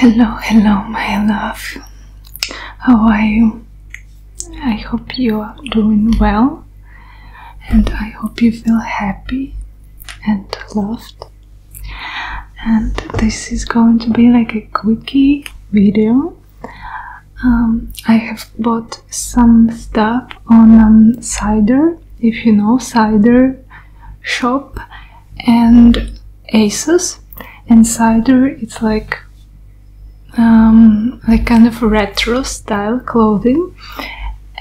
Hello, hello, my love. How are you? I hope you are doing well and I hope you feel happy and loved. And this is going to be like a quickie video. Um, I have bought some stuff on um, Cider, if you know Cider shop, and aces Insider. it's like um, like kind of retro style clothing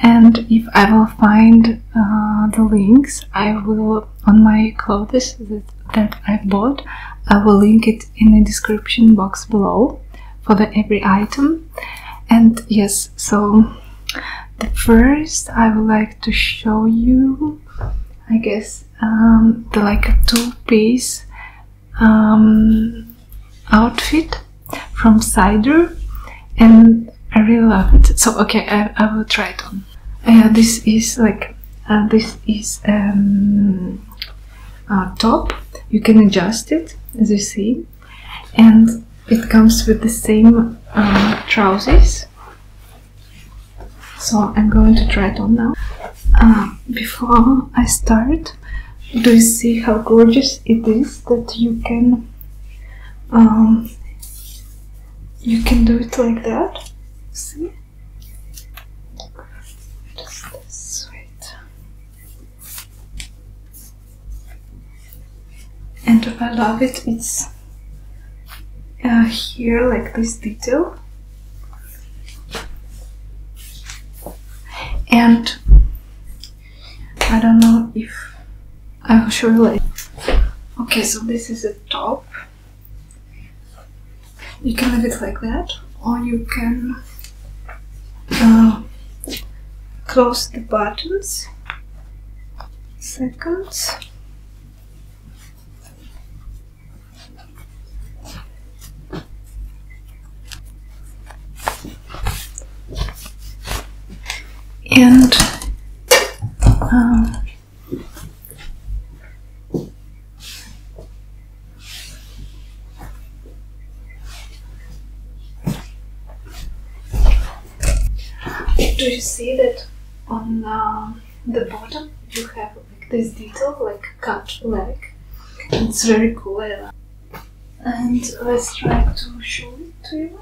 and if I will find uh, the links I will on my clothes that, that I bought I will link it in the description box below for the every item and yes so the first I would like to show you I guess um, the like a two-piece um, outfit from cider and I really love it so okay I, will try it on yeah uh, this is like uh, this is um, top you can adjust it as you see and it comes with the same uh, trousers so I'm going to try it on now. Uh, before I start, do you see how gorgeous it is that you can um, you can do it like that? See? Just this And I love it. It's uh, here like this detail and I don't know if I will show you later. Okay, so this is the top. You can leave it like that or you can uh, close the buttons seconds and um, do you see that on the um, the bottom you have like this detail, like cut leg. It's very cool, And let's try to show it to you.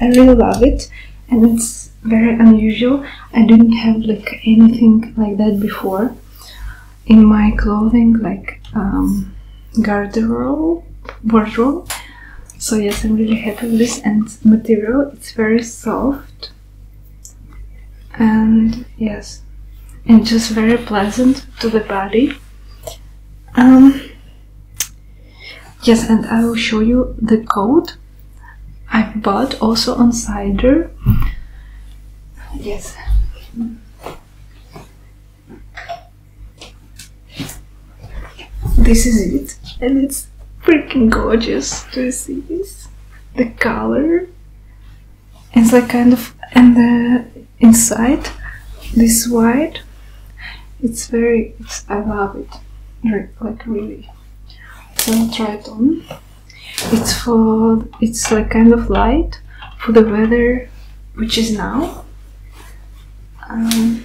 I really love it and it's very unusual. I didn't have like anything like that before in my clothing like um, garderobe wardrobe so yes I'm really happy with this and material it's very soft and yes and just very pleasant to the body um, yes and i will show you the code i bought also on cider yes this is it and it's freaking gorgeous to see this the color it's like kind of and the inside this white it's very it's, i love it like really so i try it on it's for it's like kind of light for the weather which is now um,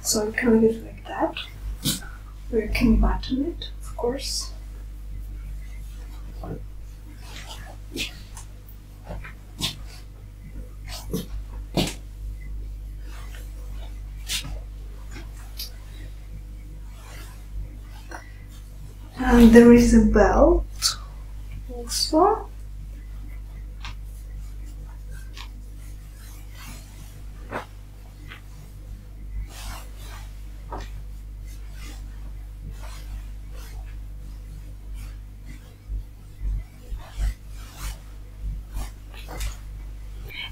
So you can leave like that, or you can button it, of course. And there is a belt also.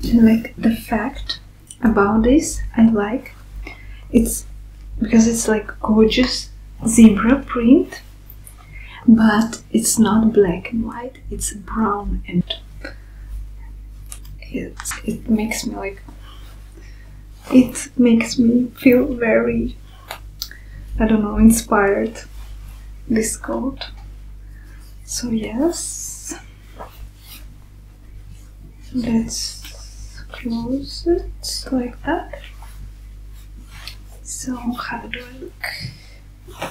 And like the fact about this I like it's because it's like gorgeous zebra print but it's not black and white, it's brown and it, it makes me like it makes me feel very I don't know inspired this coat. So yes let's close it like that. So how do I look?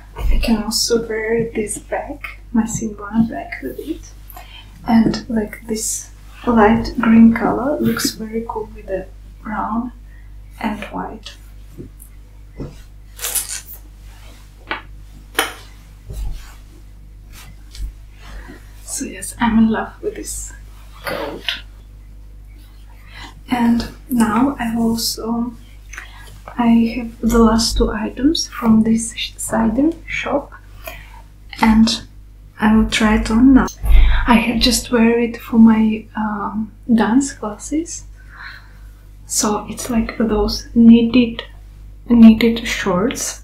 I can also wear this back, my Simboa back with it. And like this light green color looks very cool with the brown and white. So yes, I'm in love with this coat. And now I also I have the last two items from this cider shop and I will try it on now. I have just wear it for my um, dance classes so it's like those knitted knitted shorts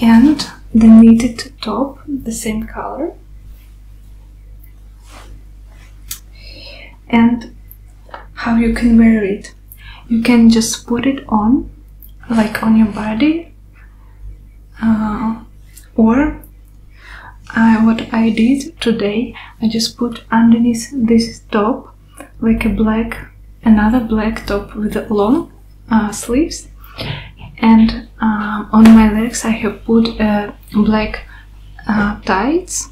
and the knitted top the same color and how you can wear it you can just put it on like on your body uh, or uh, what I did today I just put underneath this top like a black another black top with long uh, sleeves and on my legs I have put black tights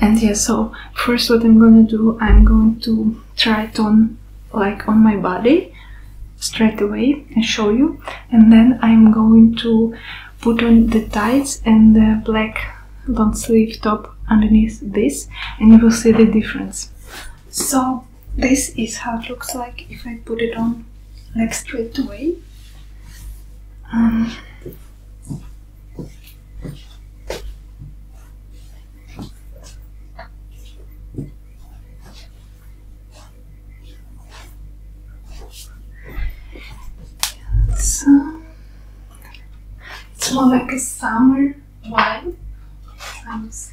and yeah so first what i'm gonna do i'm going to try it on like on my body straight away and show you and then i'm going to put on the tights and the black long sleeve top underneath this and you will see the difference so this is how it looks like if i put it on like straight away um, it's, more like a summer wine, I would say.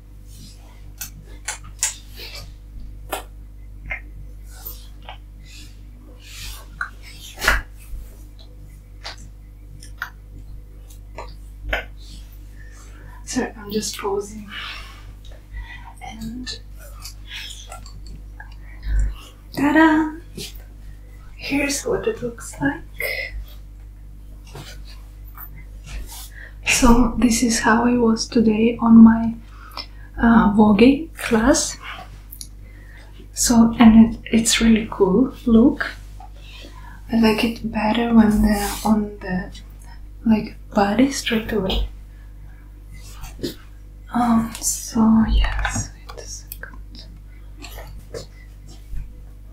So I'm just pausing and ta-da! Here's what it looks like. So this is how I was today on my uh, class. So and it's really cool look. I like it better when they're on the like body straight away. Um. So yes.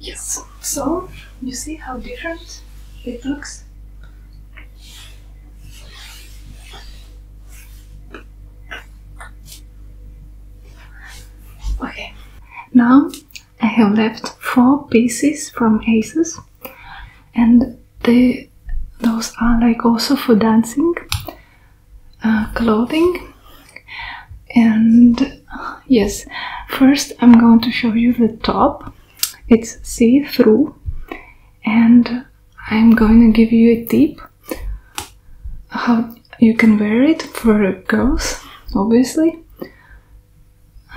Yes. So, you see how different it looks? Okay, now I have left four pieces from aces, and they, those are like also for dancing uh, clothing. And yes, first I'm going to show you the top. It's see through, and I'm going to give you a tip how you can wear it for girls, obviously.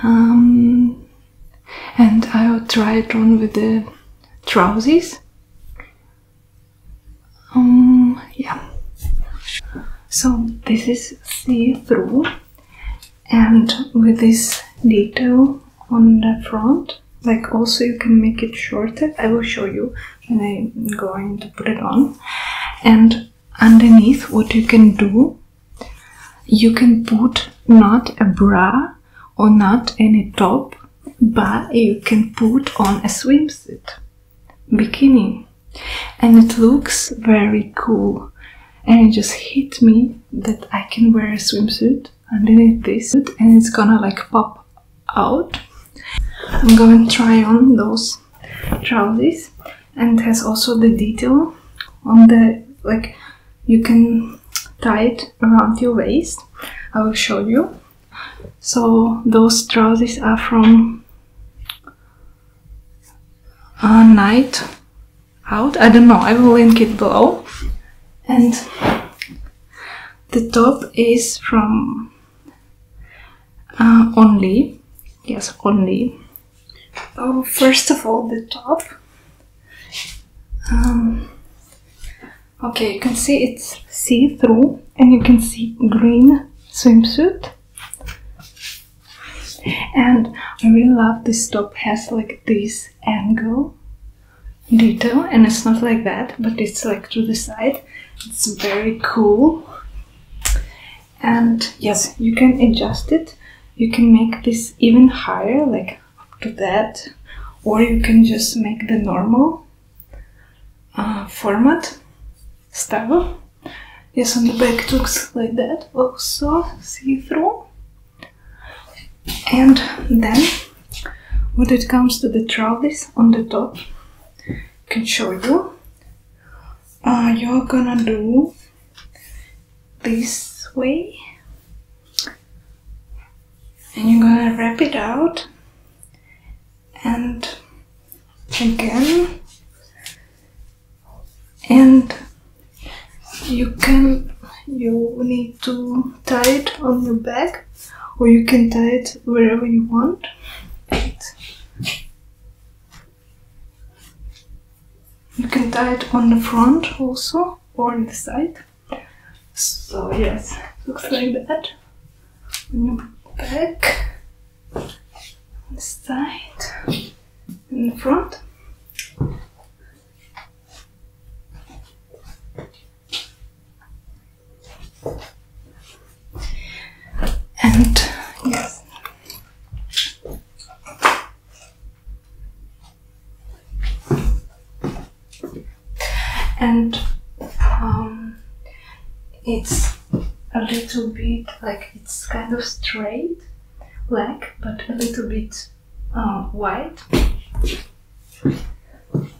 Um, and I will try it on with the trousers. Um, yeah. So this is see-through, and with this detail on the front, like also you can make it shorter. I will show you and I'm going to put it on. And underneath, what you can do, you can put not a bra or not any top, but you can put on a swimsuit bikini, and it looks very cool. And it just hit me that I can wear a swimsuit underneath this, suit, and it's gonna like pop out. I'm going to try on those trousers and has also the detail on the like you can tie it around your waist. I will show you. So those trousers are from a uh, night out. I don't know. I will link it below. And the top is from uh, only, yes, only. Oh, first of all, the top. Um, okay, you can see it's see through, and you can see green swimsuit. And I really love this top has like this angle detail, and it's not like that, but it's like to the side, it's very cool. And yes, you can adjust it. You can make this even higher, like up to that, or you can just make the normal uh, format style. Yes, on the back it looks like that, also see through. And then when it comes to the trolleys on the top, can show you uh, you're gonna do this way and you're gonna wrap it out and again and you can you need to tie it on your back or you can tie it wherever you want. You can tie it on the front also or in the side. So yes, looks like that. Back, the side, in the front. And yes. And um, it's a little bit like it's kind of straight black, but a little bit uh, white.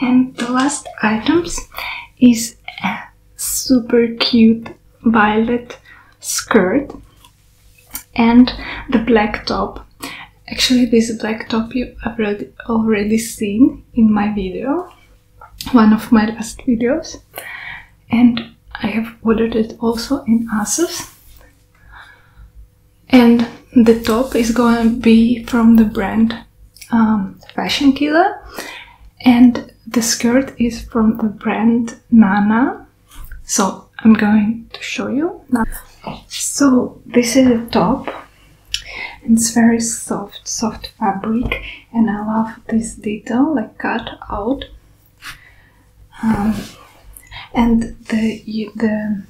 And the last items is a super cute violet skirt and the black top. Actually, this black top you already already seen in my video one of my last videos and I have ordered it also in ASUS and the top is going to be from the brand um, Fashion Killer and the skirt is from the brand Nana so I'm going to show you now. So this is the top it's very soft, soft fabric and I love this detail like cut out um, and the the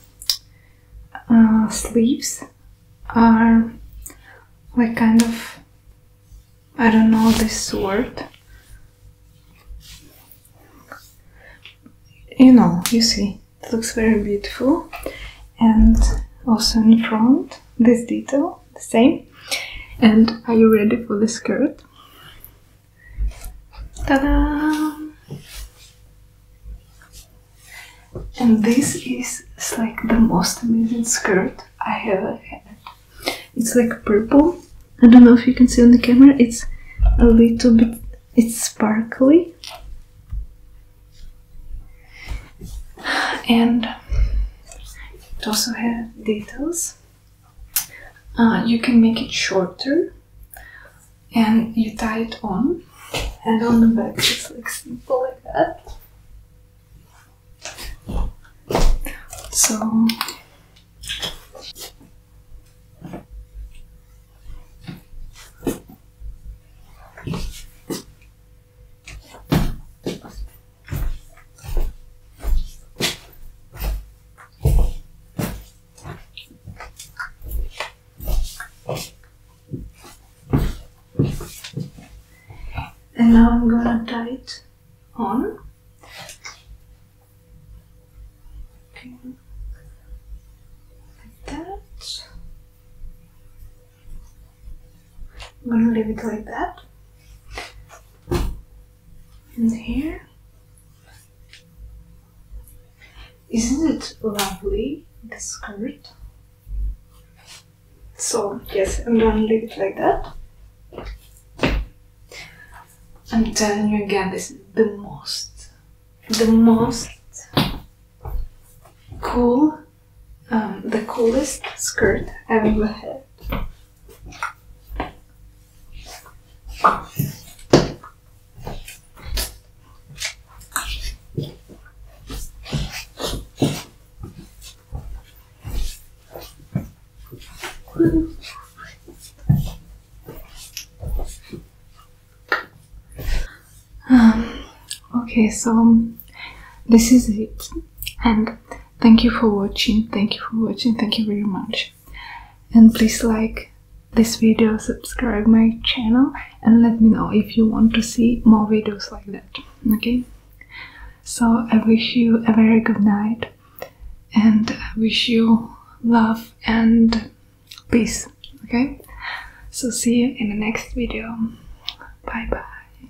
uh, sleeves are like kind of I don't know this word you know you see it looks very beautiful and also in front this detail same. And are you ready for the skirt? Ta-da! And this is like the most amazing skirt I ever had. It's like purple. I don't know if you can see on the camera. It's a little bit. It's sparkly. And it also has details. Uh, you can make it shorter and you tie it on and on the back it's like simple like that. So and now I'm gonna tie it on. Like that. I'm gonna leave it like that. And here. Isn't it lovely, the skirt? So, yes, I'm gonna leave it like that. I'm telling you again, this is the most, the most cool um, the coolest skirt I've ever had. Um, okay, so um, this is it, and Thank you for watching. Thank you for watching. Thank you very much. And please like this video, subscribe my channel and let me know if you want to see more videos like that. Okay? So I wish you a very good night and I wish you love and peace. Okay? So see you in the next video. Bye bye.